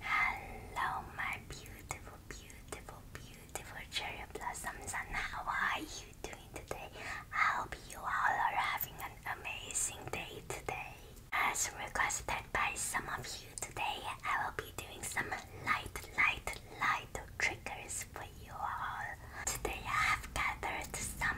Hello, my beautiful, beautiful, beautiful cherry blossoms, and how are you doing today? I hope you all are having an amazing day today. As requested by some of you today, I will be doing some light, light, light triggers for you all. Today, I have gathered some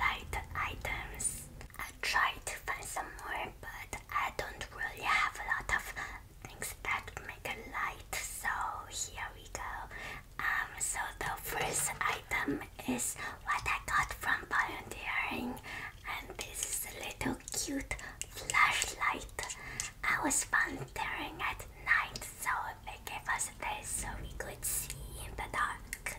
light items I tried to find some more, but I don't really have a lot of things that make a light. So here we go. Um, so the first item is what I got from volunteering, and this is a little cute flashlight. I was volunteering at night, so they gave us this so we could see in the dark.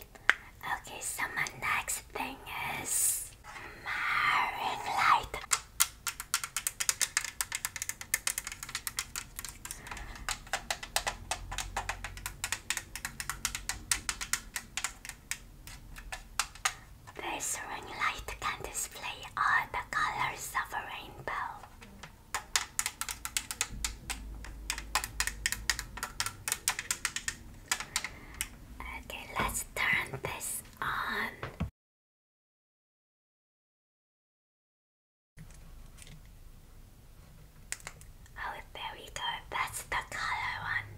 Okay, so my next thing is my ring light. This ring light can display all the colors of a rainbow. Okay, let's turn this on. Oh, there we go. That's the color one.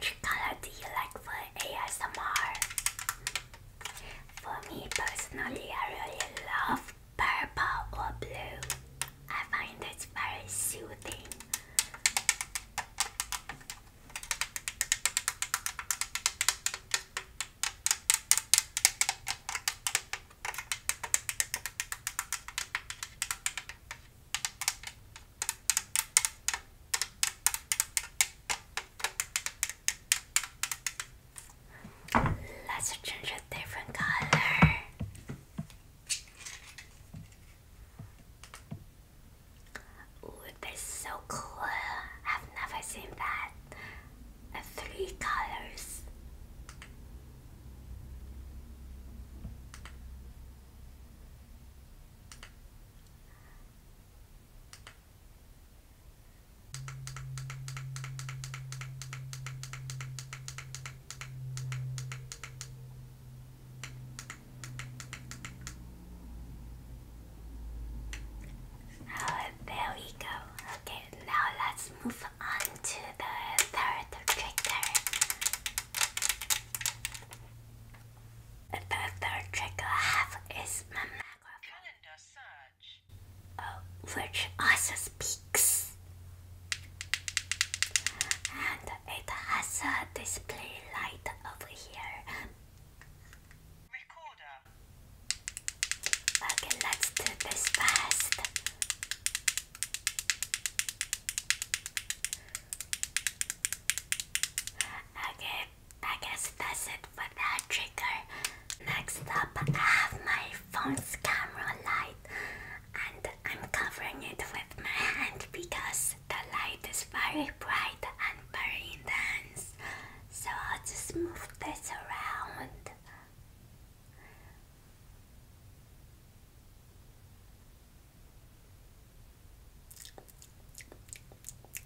Which color do you like for ASMR? For me personally, I really love purple or blue. I find it very soothing. Let's change a different color. Ooh, that's so cool. I've never seen that. three colors. Oh, there we go. Okay, now let's move on to the third trigger. The third trigger I have is my Oh, which also speaks, and it has a display light over here. Okay, let's do this fast. Okay, I guess that's it for that trigger. Next up, I have my phone's camera light, and I'm covering it with my hand because the light is very bright and very intense. So I'll just move this around.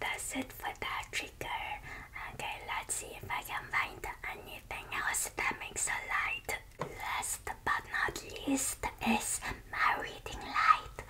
that's it for that trigger. Okay, let's see if I can find anything else that makes a light. Last but not least is my reading light.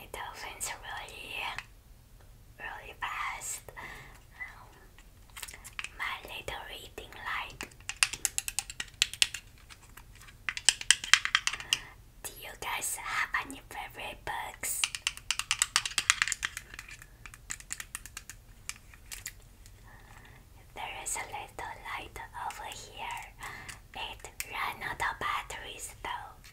It opens really really fast. Um, my little reading light. Do you guys have any favorite books? There is a little light over here. It ran out of batteries though.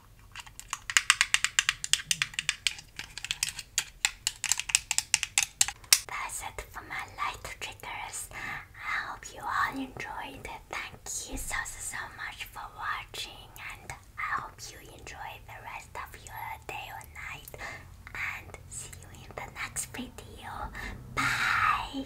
That's it for my light triggers. I hope you all enjoyed it. Thank you so so, so much for watching and I hope you enjoy the rest of your day or night and see you in the next video. Bye!